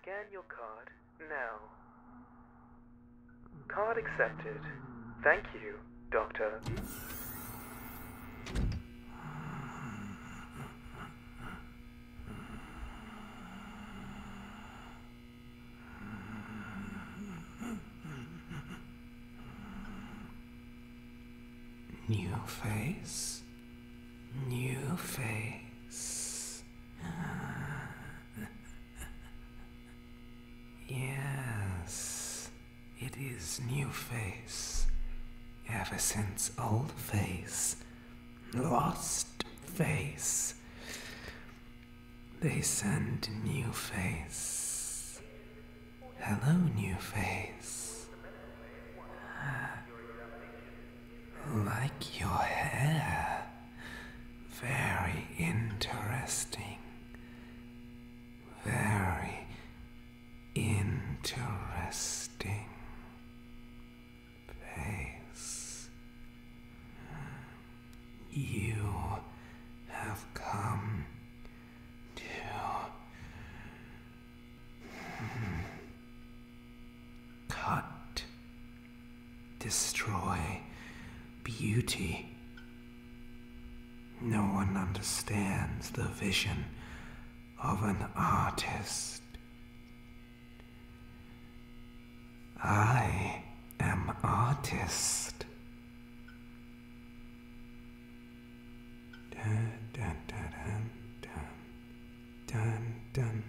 Scan your card now. Card accepted. Thank you, Doctor. New face, new face. yes, it is new face. Ever since old face lost face. They send new face. Hello, new face. Like your hair. Very interesting. Very interesting place. You have come to cut, destroy beauty. No one understands the vision of an artist. I am artist. Dun, dun, dun, dun, dun, dun.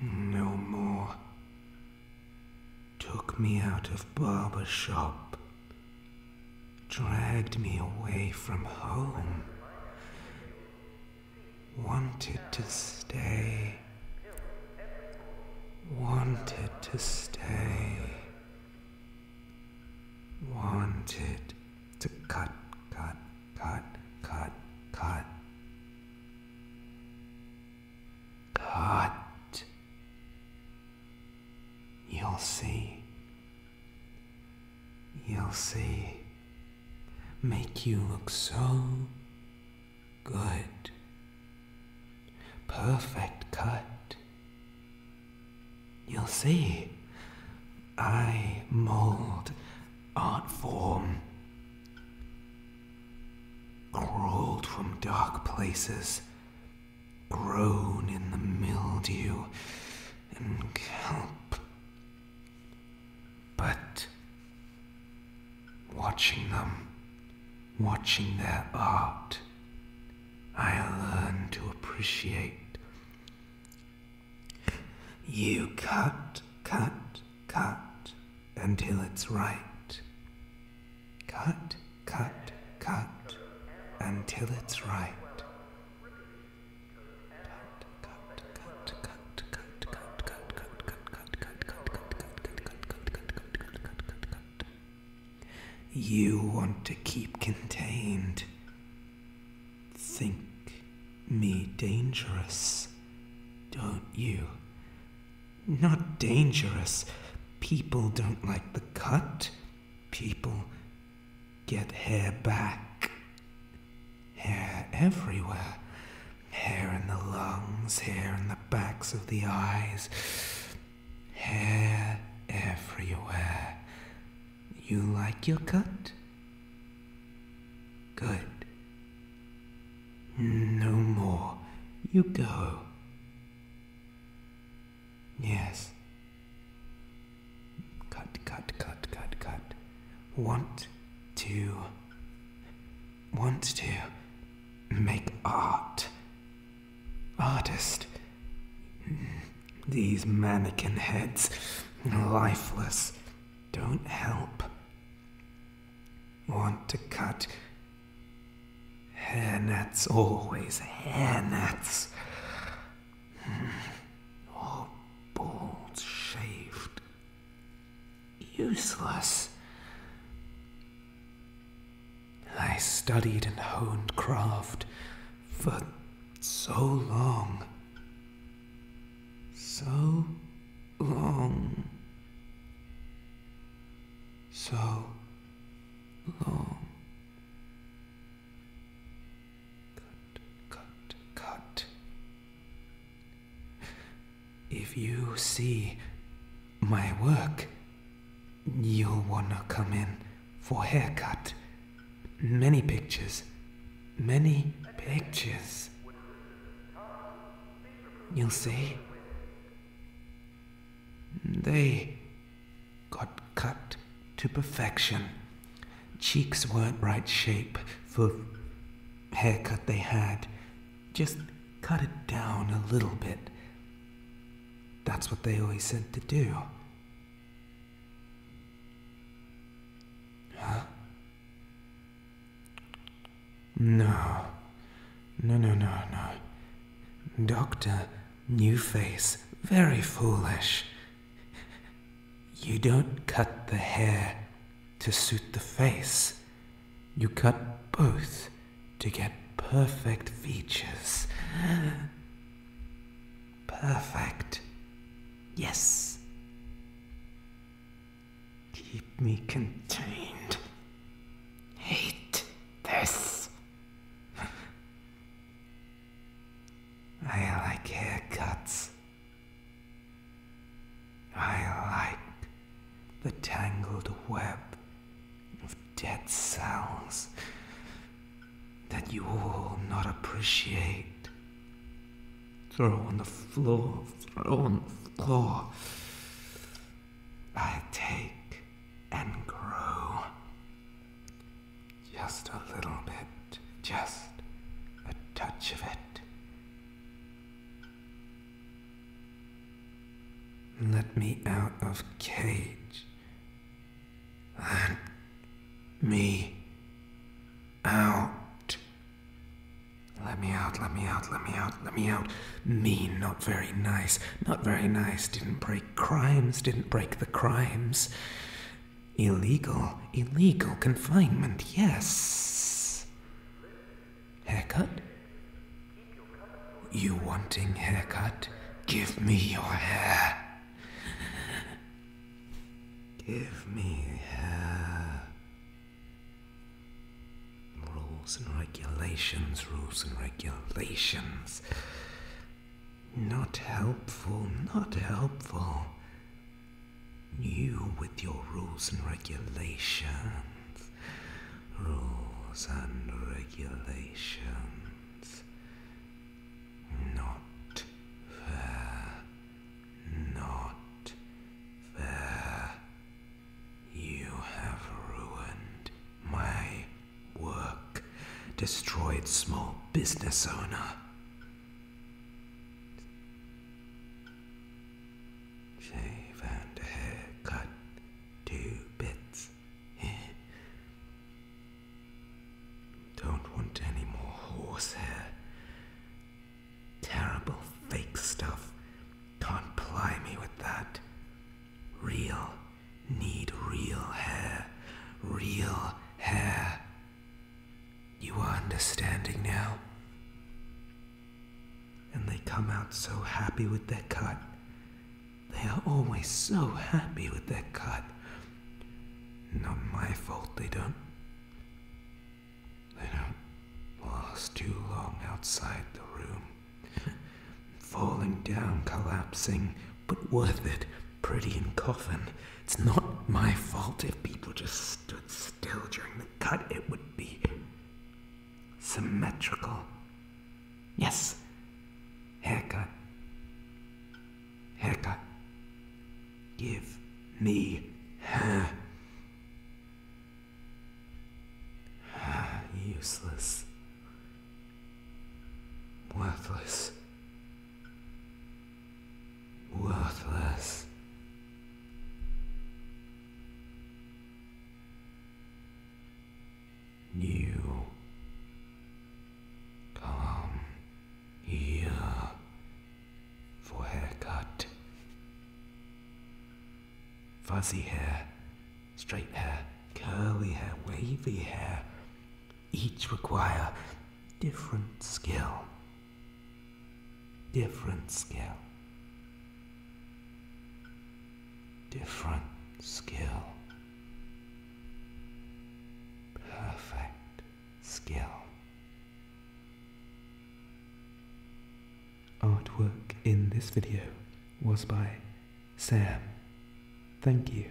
no more took me out of barber shop, dragged me away from home, wanted to stay, wanted to stay, wanted to cut, cut, cut, cut, cut. Cut. You'll see. You'll see. Make you look so good. Perfect cut. You'll see. I mold art form. Crawled from dark places Grown in the mildew and kelp. But watching them, watching their art, I learned to appreciate. You cut, cut, cut until it's right. Cut cut, cut until it's right. You want to keep contained. Think me dangerous, don't you? Not dangerous. People don't like the cut. People get hair back. Hair everywhere. Hair in the lungs, hair in the backs of the eyes. Hair everywhere. You like your cut? Good. No more. You go. Yes. Cut, cut, cut, cut, cut. Want to. Want to. Make art. Artist. These mannequin heads. Lifeless. Don't help. Want to cut hair nets, always hair nets. Hmm. bald, shaved, useless. I studied and honed craft for so long. So long so long. Cut, cut, cut. If you see my work, you'll wanna come in for haircut. Many pictures. Many pictures you see. They got cut to perfection. Cheeks weren't right shape for haircut they had. Just cut it down a little bit. That's what they always said to do. Huh? No. No, no, no, no. Doctor, new face, very foolish. You don't cut the hair to suit the face. You cut both to get perfect features. Perfect. Yes. Keep me contained. Hate this. I like haircuts. I like the tangled web of dead cells that you all not appreciate. Throw on the floor, throw on the floor. I take and grow. Just a little bit, just a touch of it. Let me out of cage. Let me out. Let me out, let me out, let me out, let me out. Mean, not very nice, not very nice. Didn't break crimes, didn't break the crimes. Illegal, illegal confinement, yes. Haircut? You wanting haircut? Give me your hair. Give me hair. Rules and regulations, rules and regulations. Not helpful, not helpful. You with your rules and regulations. Rules and regulations. Not fair. Not fair. You have ruined my work, destroyed small business owner. Shave and hair cut bits. Don't want any more horsehair. Terrible fake stuff. Can't ply me with that. Real. Need real hair. Real hair. You are understanding now? And they come out so happy with their cut. They are always so happy with their cut. Not my fault they don't. They don't last too long outside the room. Falling down, collapsing, but worth it. Pretty in coffin. It's not my fault if people just stood still during the cut. It would be symmetrical. Yes, haircut. Hecka, give me Useless. Worthless. Worthless. New. Calm. Hier. For haircut, Fuzzy hair, straight hair, curly hair, wavy hair, each require different skill. Different skill. Different skill perfect skill. Artwork in this video was by Sam. Thank you.